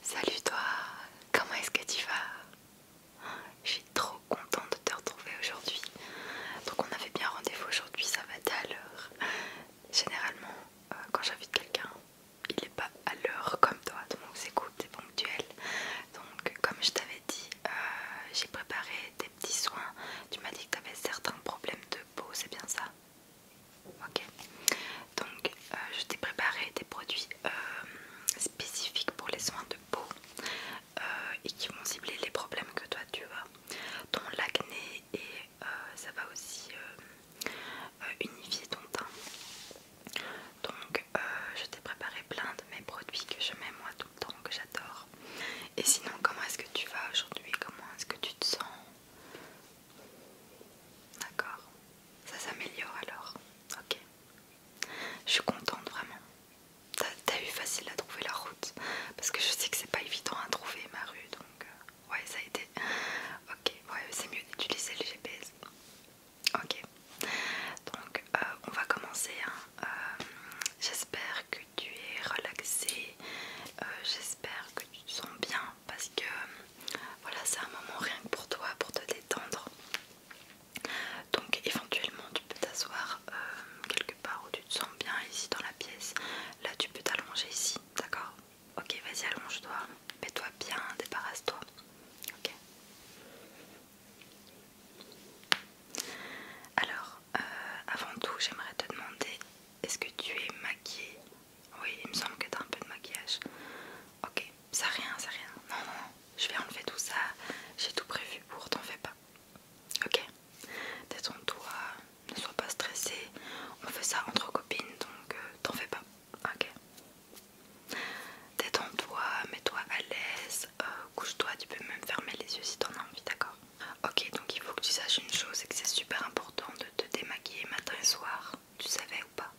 Salut toi, comment est-ce que tu vas Je suis trop contente de te retrouver aujourd'hui. Donc on avait bien rendez-vous aujourd'hui, ça va être à l'heure. Généralement, euh, quand j'invite quelqu'un, il n'est pas à l'heure comme toi, donc c'est cool, c'est ponctuel. Donc comme je t'avais dit, euh, j'ai préparé des petits soins. Tu m'as dit que tu avais certains problèmes de peau, c'est bien ça Ok, donc euh, je t'ai préparé des produits euh, spécifiques pour les soins de peau euh, et qui vont cibler les problèmes que toi tu as, dont l'acné et ça va aussi unifier ton teint. Donc je t'ai préparé plein de mes produits que je mets moi tout le temps, que j'adore. Et sinon, comment est-ce que tu vas aujourd'hui Comment est-ce que tu te sens D'accord. Ça s'améliore alors. Ok. Je suis contente vraiment. T'as eu facile à trouver la route parce que je sais que c'est pas évident à trouver ma rue donc euh, ouais ça a été. Ok ouais c'est mieux d'utiliser le GPS. Ok. Donc euh, on va commencer. Hein. Euh, j'espère que tu es relaxé j'espère que tu te sens bien parce que euh, voilà, c'est un moment rien que pour toi, pour te détendre. Donc éventuellement tu peux t'asseoir euh, quelque part où tu te sens bien ici dans la pièce. Là tu peux t'allonger ici, d'accord Ok, vas-y allonge-toi, mets-toi bien, débarrasse-toi. Ok. Alors, euh, avant tout, j'aimerais te demander est-ce que tu es maquillée oui, il me semble que t'as un peu de maquillage. Ok, ça rien, ça rien. Non, non, je vais enlever tout ça. J'ai tout prévu pour, t'en fais pas. Ok, détends-toi, ne sois pas stressé. On fait ça entre copines, donc euh, t'en fais pas. Ok. Détends-toi, mets-toi à l'aise, euh, couche-toi, tu peux même fermer les yeux si t'en as envie, d'accord Ok, donc il faut que tu saches une chose, c'est que c'est super important de te démaquiller matin et soir tu savais ou pas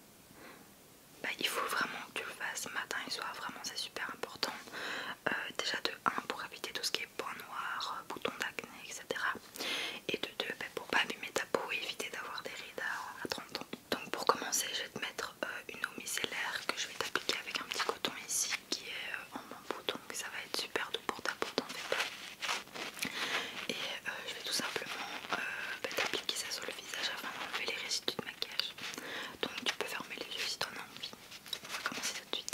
bah, il faut vraiment que tu le fasses matin et soir, vraiment c'est super important. Euh, déjà de 1 pour éviter tout ce qui est points noirs, euh, boutons d'acné, etc. Et de 2 bah, pour pas abîmer ta peau et éviter d'avoir des rides à, 30 ans. Donc pour commencer, je vais te mettre euh, une eau micellaire que je vais t'appliquer avec un petit coton ici qui est en bambou, donc ça va être super doux pour ta peau, t'en et euh, je vais tout simplement euh, bah, appliquer ça sur le visage afin d'enlever les résidus de maquillage. Donc tu peux fermer les yeux si tu en as envie. On va commencer tout de suite.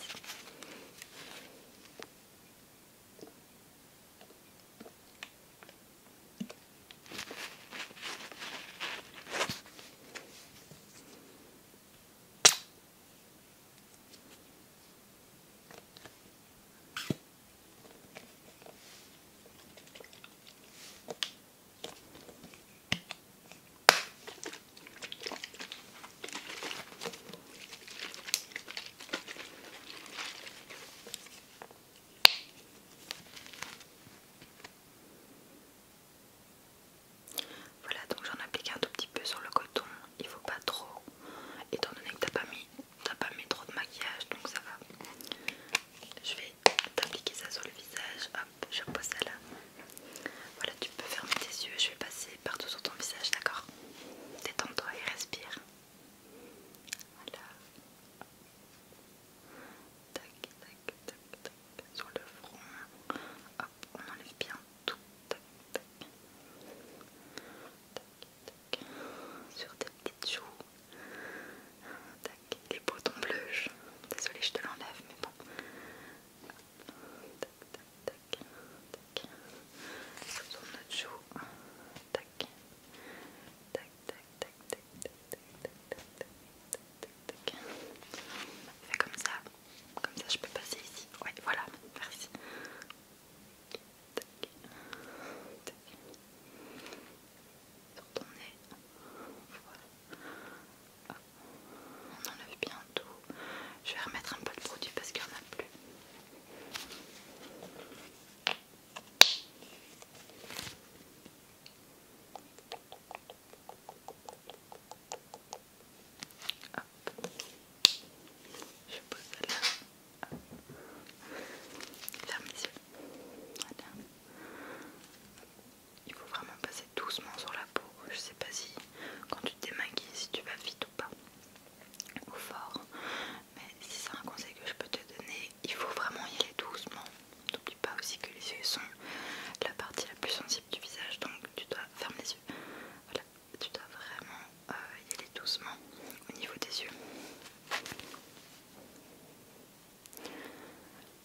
Voilà, donc j'en applique un tout petit peu sur le coton, il faut pas trop, étant donné que t'as pas mis t'as pas mis trop de maquillage donc ça va. Je vais t'appliquer ça sur le visage. Hop, je repose ça là. Voilà, tu peux fermer tes yeux. Je vais passer partout sur ton visage, d'accord Détends-toi et respire. Voilà. Tac, tac, tac, tac. Sur le front. Hop, on enlève bien tout. Tac, tac. Tac, tac, sur tes petites joues, tac, les boutons bleus. Désolée, je te l'enlève, mais bon. Tac, tac, tac, tac. Sur ton autre joue, tac, tac, tac, tac, tac, tac, tac, tac, tac, tac. Fais comme ça, comme ça je peux passer ici. Ouais, voilà, merci. On enlève bien tout. Je vais remettre un peu de produit parce qu'il n'y en a plus. Je pose là. Ferme les yeux. Il faut vraiment passer doucement sur la peau. Je sais pas si quand tu te démaquilles, si tu vas vite ou pas, ou fort. Mais si c'est un conseil que je peux te donner, il faut vraiment y aller doucement. N'oublie pas aussi que les yeux sont la partie la plus sensible du visage, donc tu dois fermer les yeux. Voilà, tu dois vraiment il euh, est doucement au niveau des yeux.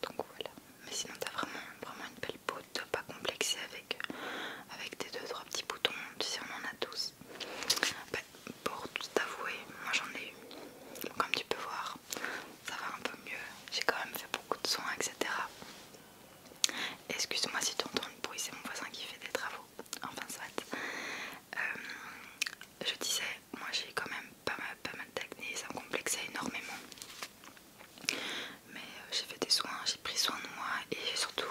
Donc voilà, mais sinon t'as vraiment, vraiment une belle peau, pas complexé avec, avec tes deux trois petits boutons, tu sais on en a tous. Bah, pour t'avouer, moi j'en ai eu. comme tu peux voir, ça va un peu mieux. J'ai quand même fait beaucoup de soins, etc. Excuse-moi si tu entends le bruit, c'est mon voisin qui fait des travaux enfin soit. Euh, je disais, moi j'ai quand même pas mal, pas mal d'acné, ça me complexait énormément. Mais euh, j'ai fait des soins, j'ai pris soin de moi et j'ai surtout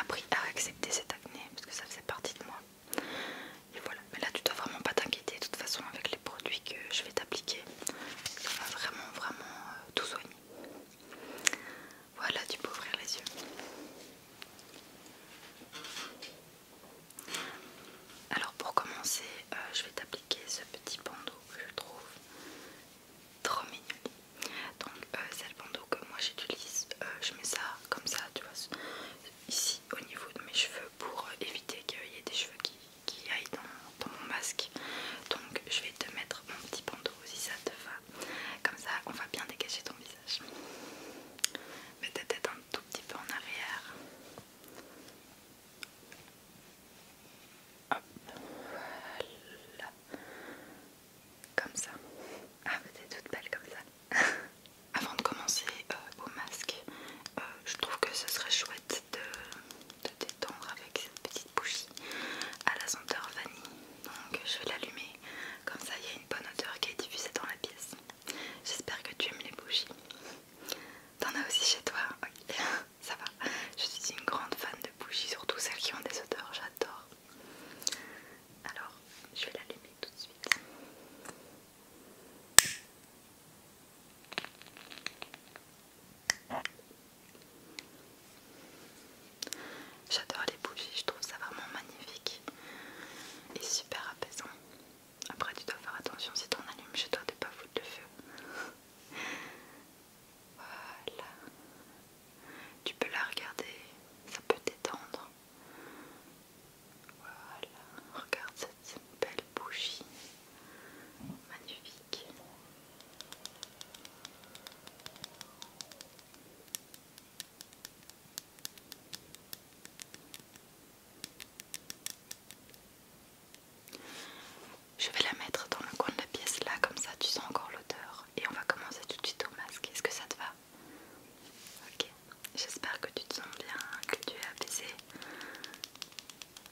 appris à accepter cette acné parce que ça faisait partie de moi. Et voilà, mais là tu dois vraiment pas t'inquiéter de toute façon avec les produits que je vais t'appliquer. Ça va vraiment vraiment euh, tout soigner. Voilà, tu peux ouvrir les yeux. Alors pour commencer, euh, je vais t'appliquer ce petit bandeau que je trouve trop mignon. Donc euh, c'est le bandeau que moi j'utilise, euh, je mets ça comme ça, tu vois, ici au niveau de mes cheveux pour éviter qu'il y ait des cheveux qui, qui aillent dans, mon masque. Donc je vais te mettre mon petit bandeau si ça te va. Comme ça on va bien dégager ton visage tout petit peu en arrière. Comme ça. Ah, vous êtes toutes belles comme ça. Avant de commencer euh, au masque, euh, je trouve que ce serait chouette de, de détendre avec cette petite bougie à la senteur vanille. Donc je vais l'allumer, comme ça il y a une bonne odeur qui est diffusée dans la pièce. J'espère que tu aimes les bougies. T'en as aussi chez toi ça va. Je suis une grande fan de bougies, surtout celles qui ont des odeurs, j'adore. Alors, je vais l'allumer tout de suite. J'adore les bougies, je trouve ça vraiment magnifique et super apaisant. Après, tu dois faire attention si en allumes chez toi de pas foutre le feu. voilà. Tu peux la regarder, ça peut t'étendre. Voilà, regarde cette belle bougie. Magnifique. Je vais la mettre dans le coin de la pièce là, comme ça tu sens encore l'odeur. Et on va commencer tout de suite au masque. Est-ce que ça te va Ok, j'espère que tu te sens bien, que tu es apaisé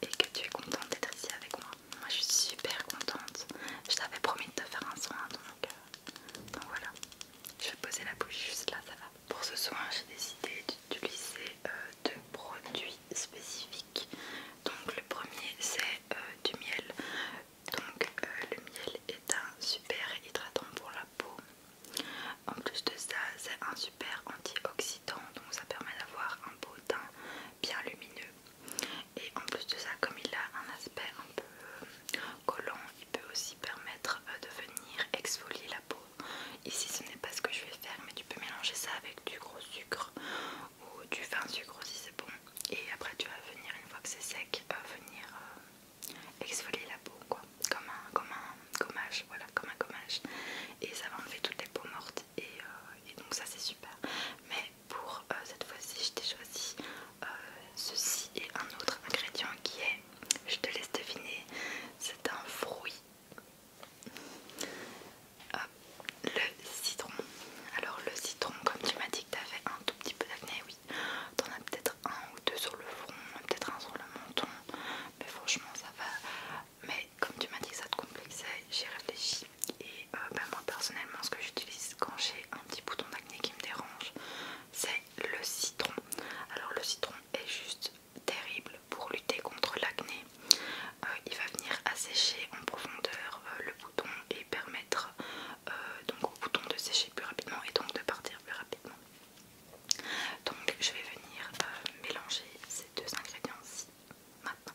et que tu es contente d'être ici avec moi. Moi je suis super contente. Je t'avais promis de te faire un soin donc, euh, donc voilà. Je vais poser la bouche juste là, ça va. Pour ce soin, j'ai décidé d'utiliser euh, deux produits spécifiques. Donc le premier c'est euh, du miel. Donc euh, le miel est un super hydratant pour la peau. En plus de ça, c'est un super antioxydant, donc ça permet d'avoir un beau teint bien lumineux. Et en plus de ça, comme il a un aspect un peu collant, il peut aussi permettre de venir exfolier la peau peau. Ici ce n'est pas ce que je vais faire mais tu peux mélanger ça avec du gros sucre ou du fin sucre si c'est bon. Et après tu vas venir une fois que c'est sec, euh, venir euh, exfolier la peau quoi, comme un, comme un gommage, voilà, comme un gommage. Et ça va enlever toutes les peaux mortes et, euh, donc ça c'est super. Mais pour cette fois-ci je t'ai choisi ceci et un autre ingrédient qui est je te laisse deviner, c'est un fruit. Ah, le citron. Alors le citron, comme tu m'as dit que tu un tout petit peu d'acné, oui, t'en as peut-être un ou deux sur le front, peut-être un sur le menton, mais franchement ça va. Mais comme tu m'as dit que ça te complexait, j'ai réfléchi. Et euh, bah, moi personnellement, ce que j'utilise quand j'ai un petit bouton d'acné qui me dérange, c'est le citron. Alors le citron, est juste terrible pour lutter contre l'acné. Euh, il va venir assécher en profondeur euh, le bouton et permettre euh, donc au bouton de sécher plus rapidement et donc de partir plus rapidement. Donc je vais venir mélanger ces deux ingrédients-ci maintenant.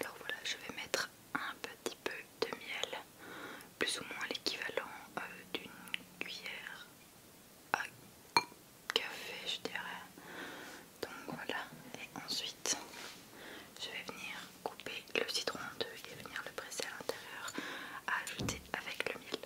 Alors voilà, je vais mettre un petit peu de miel, plus ou moins l'équivalent euh, d'une cuillère à café, je dirais. Donc voilà, et ensuite je vais venir couper le citron en deux et venir le presser à l'intérieur à ajouter avec le miel.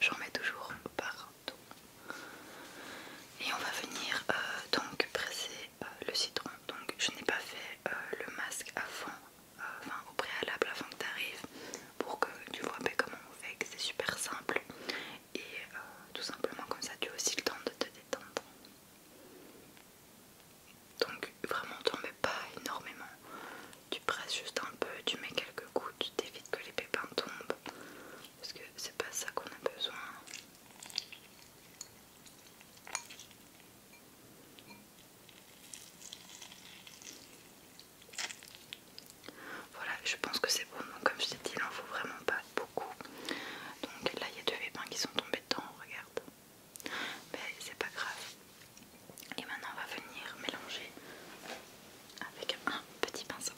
J'en mets toujours partout. Et on va venir euh, donc presser euh, le citron. Donc je n'ai pas fait euh, le masque à enfin au préalable avant que tu arrives, pour que tu vois bien comment on fait, c'est super simple. Et tout simplement comme ça tu as aussi le temps de te détendre. Donc vraiment t'en mets pas énormément tu presses juste un peu, tu mets quelques gouttes, t'évites que les pépins tombent parce que c'est pas ça qu'on a besoin. Voilà, je pense que c'est bon. comme je t'ai dit, il n'en faut vraiment pas beaucoup. Donc là, il y a deux pépins qui sont tombés dedans, regarde. Mais c'est pas grave. Et maintenant on va venir mélanger avec un petit pinceau.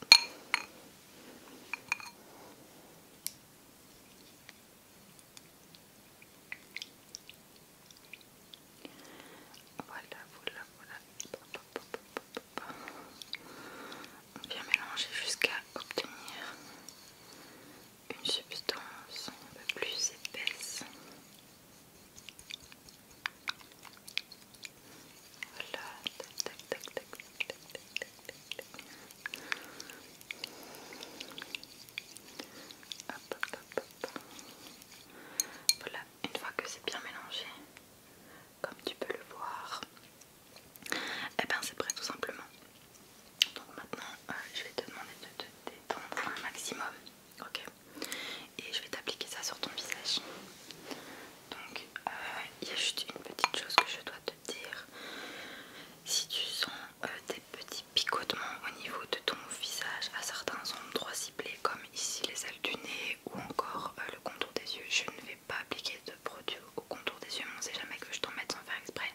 Voilà, voilà, voilà. On vient mélanger jusqu'à obtenir une substance un peu plus épaisse. Voilà, Voilà, une fois que c'est bien mélangé, comme tu peux le voir, et eh ben c'est prêt tout simplement. Donc maintenant, euh, je vais te demander de te détendre un maximum ok et je vais t'appliquer ça sur ton visage donc euh, il y a juste une petite chose que je dois te dire si tu sens euh, des petits picotements au niveau de ton visage à certains endroits ciblés comme ici les ailes du nez ou encore euh, le contour des yeux je ne vais pas appliquer de produit au contour des yeux on sait jamais que je t'en mette sans faire exprès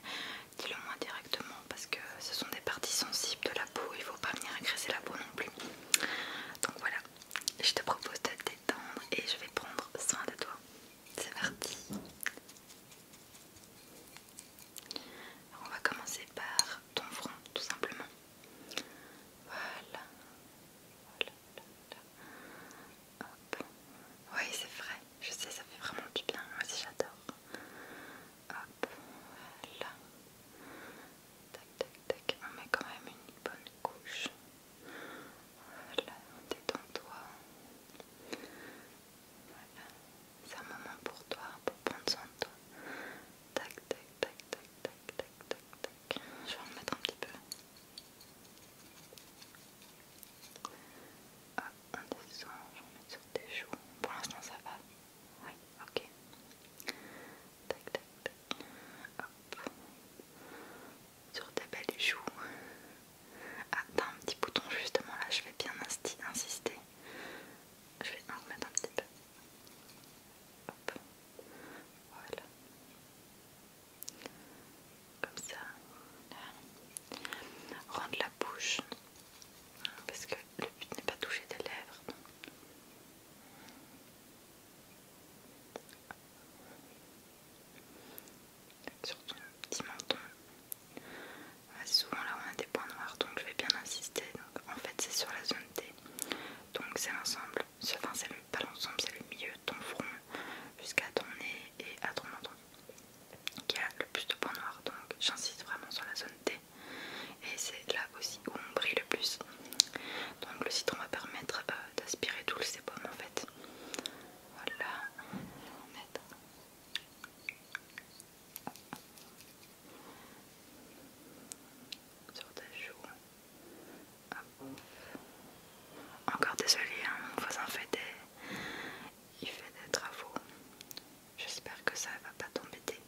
dis le moi directement parce que ce sont des parties sensibles de la il peau, il faut pas venir agresser la peau non plus. Donc voilà, je te propose de te détendre et je vais prendre soin de toi. C'est parti. on va commencer par ton front tout simplement. Voilà. voilà, Oui c'est vrai, je sais ça fait vraiment du bien, moi aussi j'adore hop, voilà, tac, tac, tac, on met quand même une bonne couche, voilà, détends-toi, voilà, c'est un moment pour toi, pour prendre soin de toi, tac, tac, tac, tac, tac, tac, tac, tac, je vais en mettre un petit peu, hop, on descend, en mettre sur tes joues, pour l'instant ça va, oui, ok. Sur tes belles joues. Ah, un petit bouton justement là, je vais bien insister. Je vais en remettre un petit peu. Voilà. Comme ça. Rendre la bouche. Parce que le but n'est pas de toucher tes lèvres sur ton petit menton. Ah, c'est souvent là on a des points noirs donc je vais bien insister. Donc, en fait c'est sur la zone T. Donc c'est l'ensemble, enfin c'est pas l'ensemble, c'est le milieu de ton front jusqu'à ton nez et à ton menton qui a le plus de points noirs. Donc j'insiste vraiment sur la zone T et c'est là aussi où on brille le plus. Donc le citron va permettre euh, d'aspirer tout le sébum en fait. Voilà, on mettre Sur ta joues. Encore désolé, hein, mon voisin fait des, il fait des travaux. J'espère que ça va pas t'embêter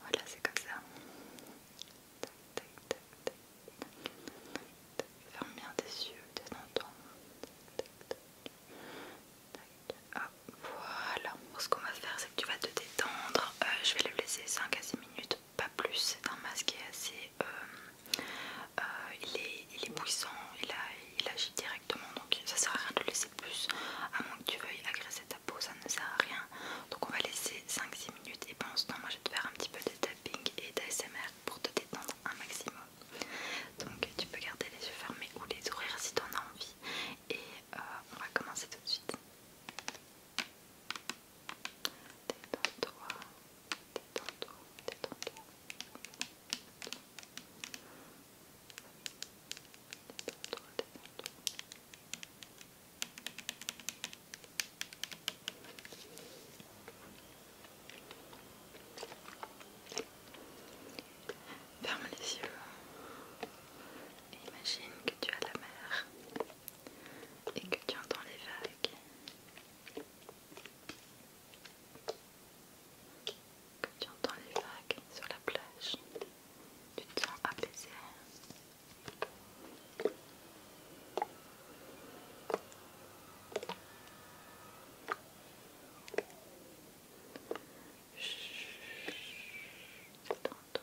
voilà, c'est comme ça. Ferme bien tes yeux, tes ah, voilà, ce qu'on va faire c'est que tu vas te détendre, euh, je vais le laisser 5 à 6 minutes, pas plus, c'est un masque qui est assez, euh, euh, il, est, il est il, il agit directement donc ça sert à rien de le laisser plus, à moins que tu veuilles agresser ça ne sert à rien, donc on va laisser 5-6 minutes. Et pendant ce temps, moi je vais te faire un petit peu de tapping et d'ASMR pour te détendre un maximum. Donc tu peux garder les yeux fermés ou les ouvrir si tu en as envie. Et euh, on va commencer tout de suite. Détends-toi, détends-toi, détends-toi. Ferme les yeux imagine que tu as la mer et que tu entends les vagues que tu entends les vagues sur la plage, tu te sens apaisé. Attends-toi.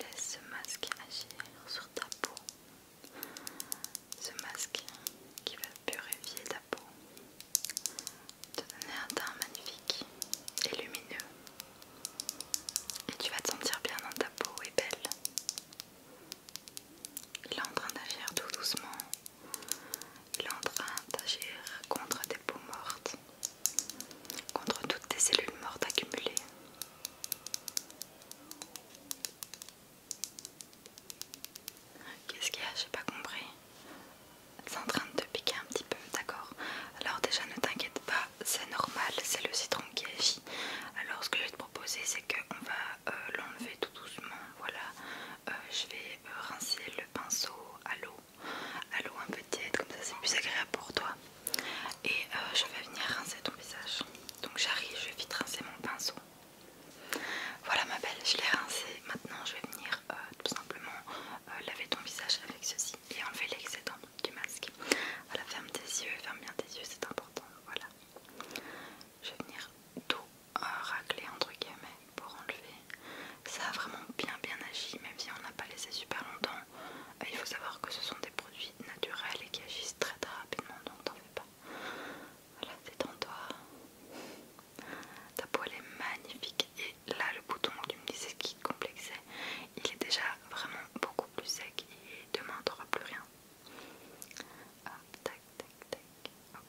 Laisse ce masque agir sur ta peau. Ce masque qui va purifier ta peau. Te donner un teint magnifique et lumineux. Et tu vas te sentir bien dans ta peau et belle. Il est en train d'agir tout doucement. Il est en train d'agir contre peau morte contre toutes tes cellules mortes accumulées. Qu'est-ce qu'il y a J'ai pas compris. C'est en train de te piquer un petit peu, d'accord Alors déjà ne t'inquiète pas, c'est normal, c'est le citron qui agit. Alors ce que je vais te proposer c'est qu'on va euh, l'enlever tout doucement, voilà. Euh, je vais euh, rincer le pinceau à l'eau à l'eau un peu tiède, comme ça c'est plus agréable pour toi. Et euh, je vais venir rincer ton visage. Donc j'arrive, je vais vite rincer mon pinceau. Voilà ma belle, je l'ai rincé. Maintenant je vais venir euh, tout simplement euh, laver ton visage avec ceci et enlever l'excédent du masque. Voilà, ferme tes yeux, ferme bien tes yeux, c'est important. Voilà. Je vais venir tout racler entre guillemets pour enlever ça a vraiment bien bien agi même si on n'a pas laissé super longtemps il faut savoir que ce sont des produits naturels et qui agissent très très rapidement donc t'en fais pas voilà détends-toi ta elle est magnifique et là le bouton que tu me disais qui complexait il est déjà vraiment beaucoup plus sec et demain t'auras plus rien tac tac tac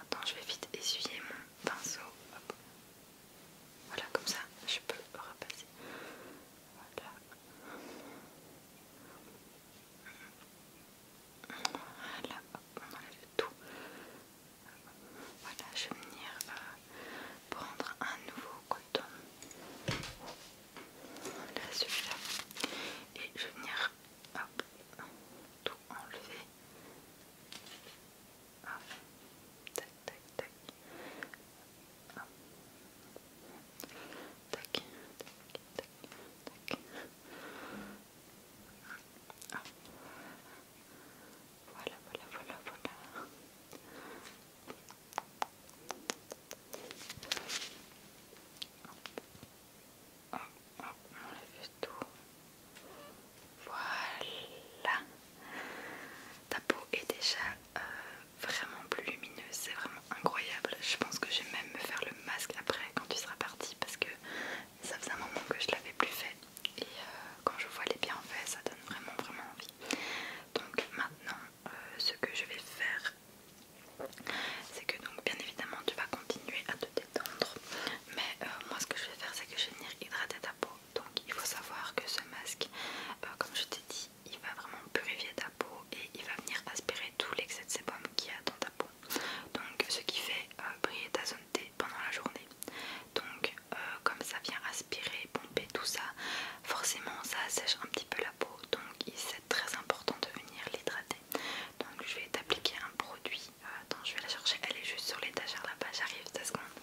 attends je vais vite essuyer mon pinceau voilà, comme ça, je peux repasser. Voilà. Voilà, on enlève tout. Voilà, je vais venir euh, prendre un nouveau coton. Là, celui-là. Et je vais venir hop, tout enlever. Hop. Tac, tac, tac. Tac, tac, tac, Voilà, voilà, voilà, voilà. Hop, hop, on a voilà. Ta peau est déjà euh, vraiment plus lumineuse, c'est vraiment incroyable. Je pense que je vais même me faire le masque après quand tu seras parti parce que ça faisait un moment que je l'avais plus fait. Et euh, quand je vois les bienfaits, ça donne vraiment vraiment envie. Donc maintenant, euh, ce que je vais faire, c'est que donc bien évidemment tu vas continuer à te détendre. Mais moi ce que je vais faire c'est que je vais venir hydrater ta peau donc il faut savoir que ce masque, euh, comme je t'ai dit, il va vraiment purifier ta peau et il va venir aspirer tout l'excès de sébum qu'il y a dans ta peau. Donc ce qui fait euh, briller ta zone T pendant la journée. Donc euh, comme ça vient aspirer, pomper tout ça, forcément ça assèche un petit peu la peau. Donc c'est très important de venir l'hydrater. Donc je vais t'appliquer un produit ah, attends, je vais la chercher. Elle est juste sur l'étagère là-bas. J'arrive, se secondes.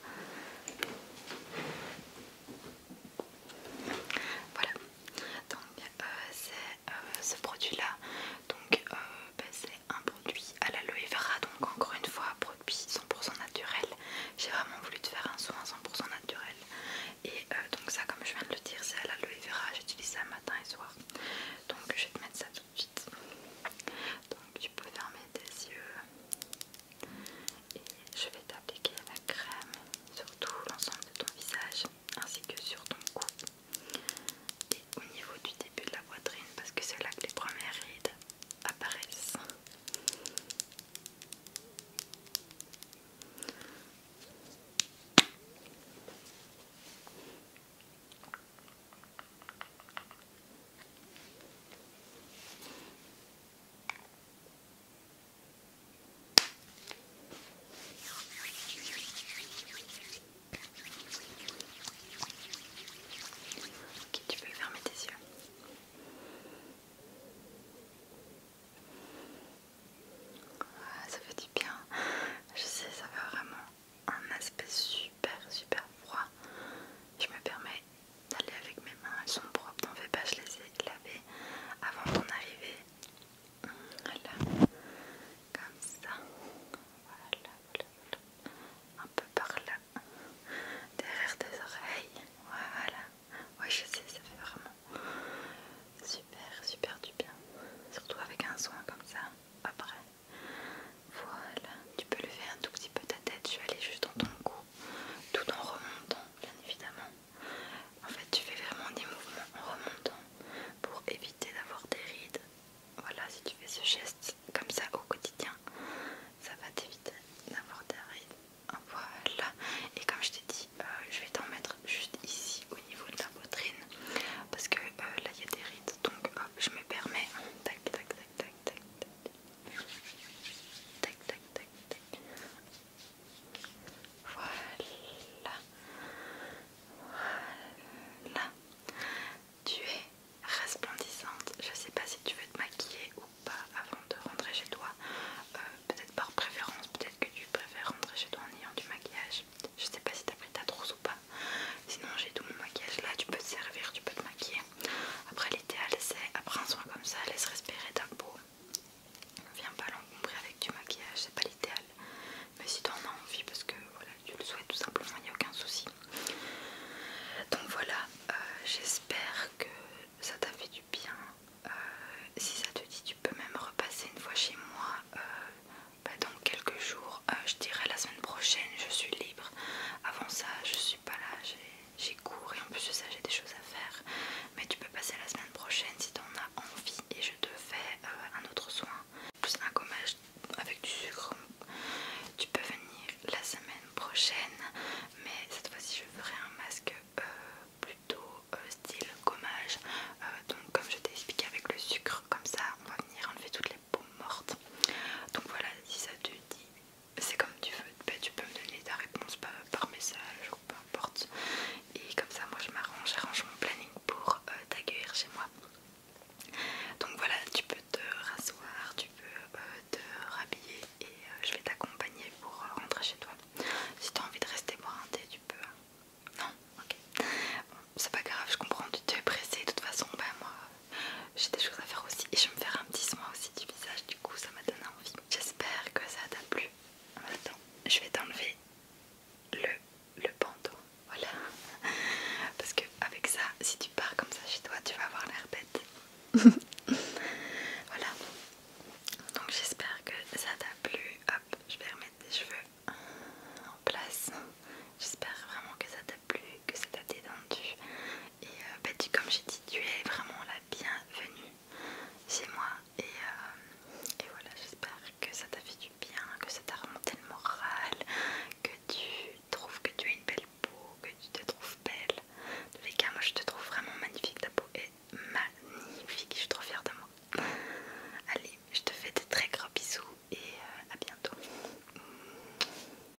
Voilà. Donc, euh, c'est euh, ce produit-là. Donc, euh, ben, c'est un produit à l'aloe vera. Donc, encore une fois, produit 100% naturel. J'ai vraiment voulu te faire un soin 100% naturel. Et donc, ça, comme je viens de le dire, c'est à l'aloe vera. J'utilise ça matin et soir. Donc, je vais te mettre ça tout de suite. Donc tu peux fermer tes yeux et je vais t'appliquer la crème sur tout l'ensemble de ton visage ainsi que sur ton cou et au niveau du début de la poitrine parce que c'est là que les premières rides apparaissent. Ok, tu peux fermer tes yeux. Ah, ça fait du bien. Je sais, ça va vraiment un aspect super super froid. Je me permets d'aller avec mes mains, elles sont propres, t'en fais pas, je les ai lavées avant d'en arriver. Voilà, comme ça. Voilà, voilà, voilà. Un peu par là, derrière tes oreilles. Voilà. Ouais, je sais, ça fait vraiment super, super du bien. Surtout avec un soin comme ça. Après, voilà, tu peux lever un tout petit peu ta tête, je vais aller juste dans ton cou, tout en remontant, bien évidemment. En fait, tu fais vraiment des mouvements en remontant pour éviter d'avoir des rides. Voilà, si tu fais ce geste comme ça au quotidien, ça va t'éviter d'avoir des rides. Voilà, et comme je t'ai dit, euh, je vais t'en mettre juste ici au niveau de la poitrine parce que euh, là il y a des rides donc hop, je me permets, tac tac tac tac, tac, tac. Tac, tac, Voilà. Voilà. Tu es resplendissante. Je sais pas si tu veux te maquiller ou pas avant de rentrer chez toi. Euh, peut-être par préférence, peut-être que tu préfères rentrer chez toi en ayant du maquillage. Je sais pas si t'as pris ta trousse ou pas. Sinon j'ai tout mon maquillage là, tu peux te servir, tu peux te maquiller. Après, l'idéal c'est après un soin comme ça, laisse respirer ta peau. Viens pas l'encombrer avec du maquillage, c'est pas l'idéal. Mais si tu en as envie, parce que voilà, tu le souhaites tout simplement, il n'y a aucun souci. Donc voilà, euh, j'espère que ça t'a fait du bien. Euh, si ça te dit, tu peux même repasser une fois chez moi euh, bah, dans quelques jours. je dirais la semaine prochaine, je suis libre avant ça, je suis pas là, j'ai cours et en plus de ça, j'ai des choses à faire. Mais tu peux passer la semaine prochaine si tu en as envie et je te fais euh, un autre soin. Plus un gommage avec du sucre. Tu peux venir la semaine prochaine, mais cette fois-ci, je ferai un masque euh, plutôt euh, style gommage. donc, comme je t'ai expliqué avec le sucre, comme ça, on va venir enlever toutes les peaux mortes. Donc voilà, si ça te dit, c'est comme tu veux, bah, tu peux me donner ta réponse par, message ou peu importe. Et comme ça, moi je m'arrange, j'arrange mon planning pour euh, t'accueillir chez moi. Donc voilà, tu peux te rasseoir, tu peux euh, te rhabiller et euh, je vais t'accompagner pour rentrer chez toi. Si tu as envie de rester boire un thé, tu peux. Hein. non Ok. c'est pas grave, je comprends, tu es pressé. De toute façon, bah, moi j'ai des choses à faire aussi et je vais me faire un petit soin aussi du visage du coup ça m'a donné envie j'espère que ça t'a plu maintenant je vais t'enlever le, le bandeau voilà parce que avec ça si tu pars comme ça chez toi tu vas avoir l'air bête voilà donc j'espère que ça t'a plu hop je vais remettre les cheveux en place j'espère vraiment que ça t'a plus que ça t'a détendu. Et euh, bah, tu, comme j'ai dit, tu es vraiment la bienvenue chez moi. Euh, et, voilà, j'espère que ça t'a fait du bien, que ça t'a remonté le moral, que tu trouves que tu as une belle peau, que tu te trouves belle. De les cas, moi je te trouve vraiment magnifique, ta peau est magnifique, je suis trop fière de moi. Allez, je te fais de très gros bisous et euh, à bientôt.